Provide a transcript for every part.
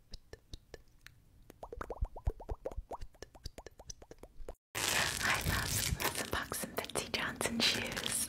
I love Let's Unbox Some Betsy Johnson Shoes.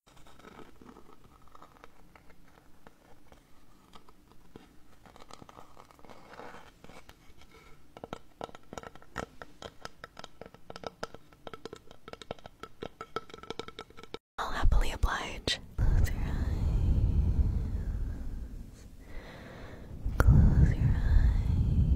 I'll happily oblige. Close your eyes. Close your eyes.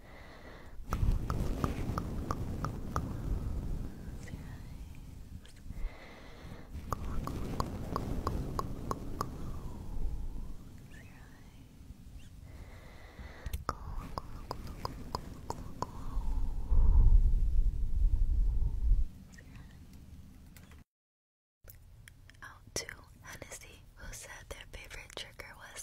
Close your eyes. Close your eyes. Out to Hennessy, who said their favorite trigger was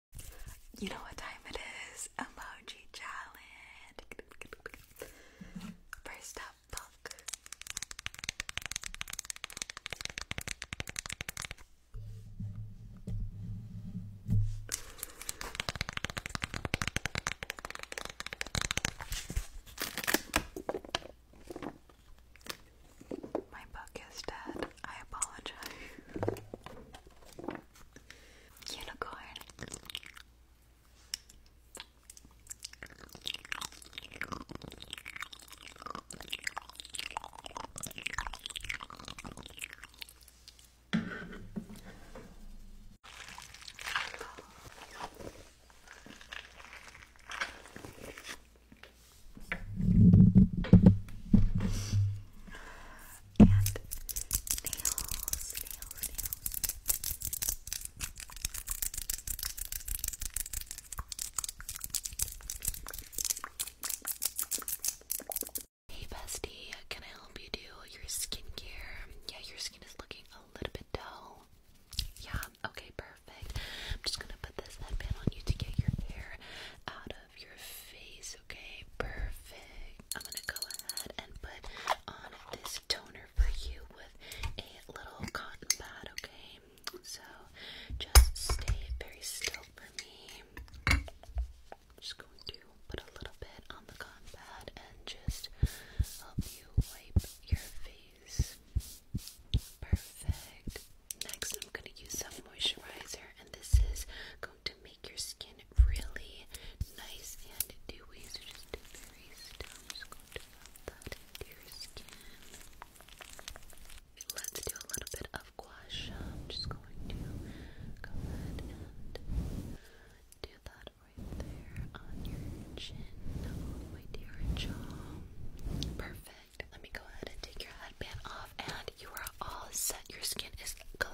You know what time it is? Emoji challenge. First up, book. My book is dead. I apologize. Unicorn and nails, nails, nails. Hey bestie, can I help you do your skincare? Yeah, your skin is looking a little bit dull. Yeah, okay, perfect. I'm just gonna put this headband on you to get your hair out your face, okay? Perfect. I'm gonna go ahead and put on this toner for you with a little cotton pad, okay? So just stay very still for me. just going to put a little bit on the cotton pad and just help you wipe your face. Perfect. Next, I'm going to use some moisturizer, and this is to make your skin really nice and dewy. So just do very still. just going to that into skin. Let's do a little bit of gua sha. I'm just going to go ahead and do that right there on your chin, all the jaw. Perfect. Let me go ahead and take your headband off and you are all set. Your skin is glowing.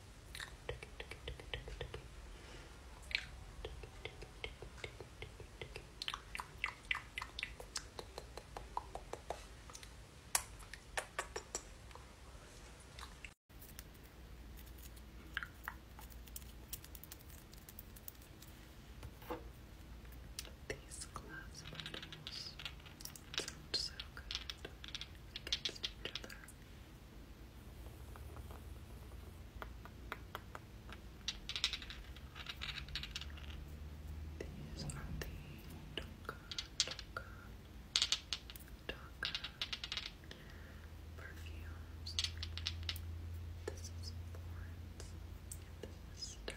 These glass bottles sound so good against each other. These are the Tonka, Tonka, perfumes. This is Florence. This is Stella.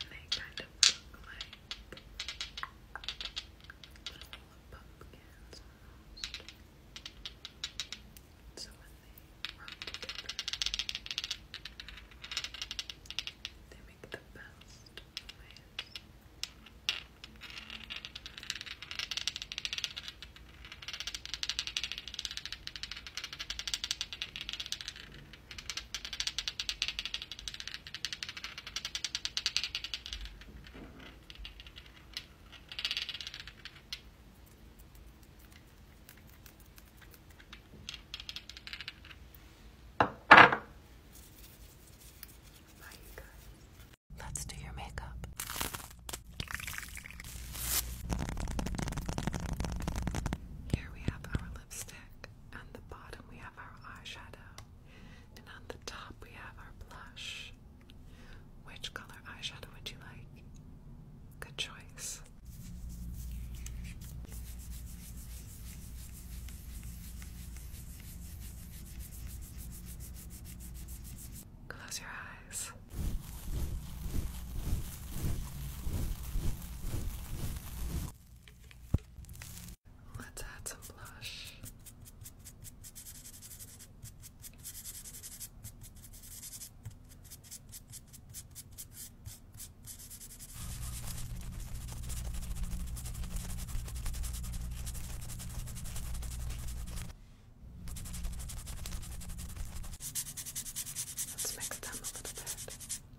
And they kind of look like little pumpkins almost. So when they rub together, they make the best noise. Let's do your makeup. Here we have our lipstick. On the bottom, we have our eyeshadow. And on the top, we have our blush. Which color eyeshadow would you like? Good choice. Close your eyes. Let's add some blush. Let's mix them a little bit.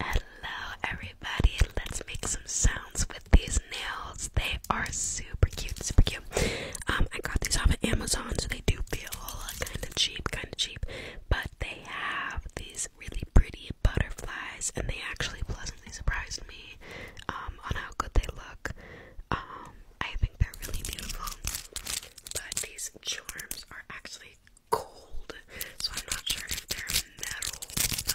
Hello, everybody. Let's make some sounds with these nails. They are super cute, super cute. Um, I got these off of Amazon, so they do feel kind of cheap, kind of cheap. But they have these really pretty butterflies, and they actually pleasantly surprised me um, on how good they look. Um, I think they're really beautiful. But these charms are actually cold, so I'm not sure if they're metal,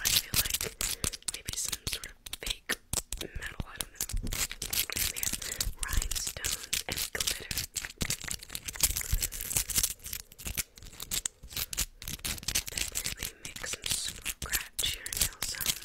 I feel like maybe some sort of fake metal, I don't know. they have rhinestones and glitter. That really some scratch sounds.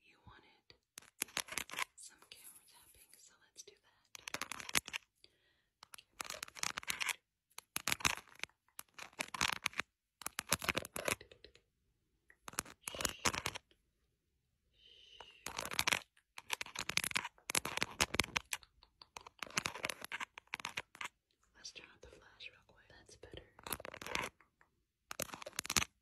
You wanted some camera tapping, so let's do that. Let's turn off the flash real quick. That's better.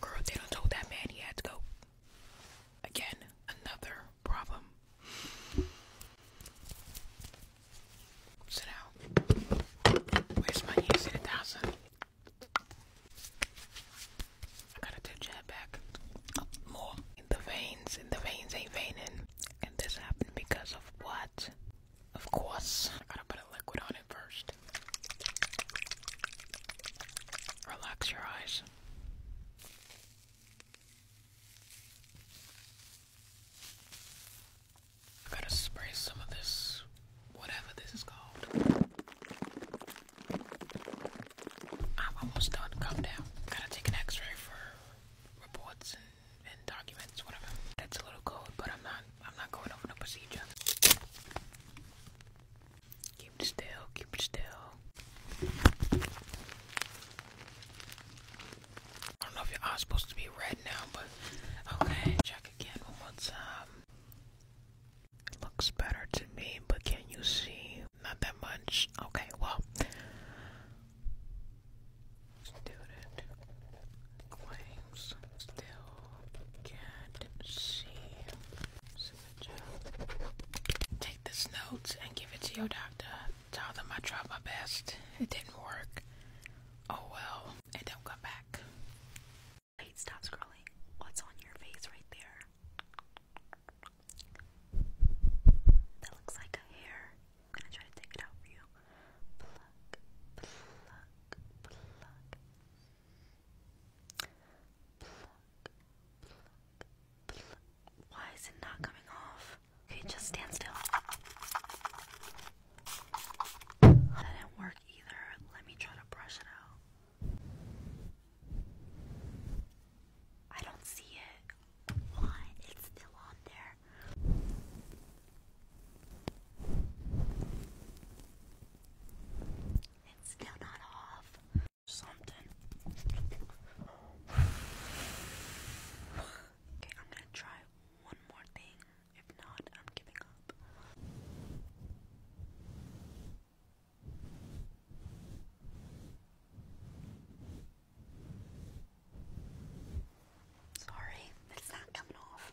Girl, they done told that man he had to go. Again, another problem. So now, where's my years in a thousand? I gotta touch that back more. In the veins, in the veins ain't veining. And this happened because of what? Of course. I gotta put a liquid on it first. Relax your eyes. I gotta spray some of this, whatever this is called. I'm almost done. Calm down. Gotta take an X-ray for reports and, and documents, whatever. That's a little cold, but I'm not. I'm not going over the procedure. Keep still. Keep still. I don't know if your eye's supposed to be red now, but okay. Check again one more um, time. Looks better to me, but can you see not that much. Okay, well. Student claims still can't see. Take this note and give it to your doctor. Tell them I tried my best. It didn't work. Oh well, and don't come back. Wait, stop scrolling. What's on your face right there? That looks like a hair. I'm gonna try to take it out for you. Why is it not coming off? Okay, just stand still. That didn't work either. Let me try to brush it out. I don't see it. Why? It's still on there. It's still not off. Something. Okay, I'm gonna try one more thing. If not, I'm giving up. Sorry, it's not coming off.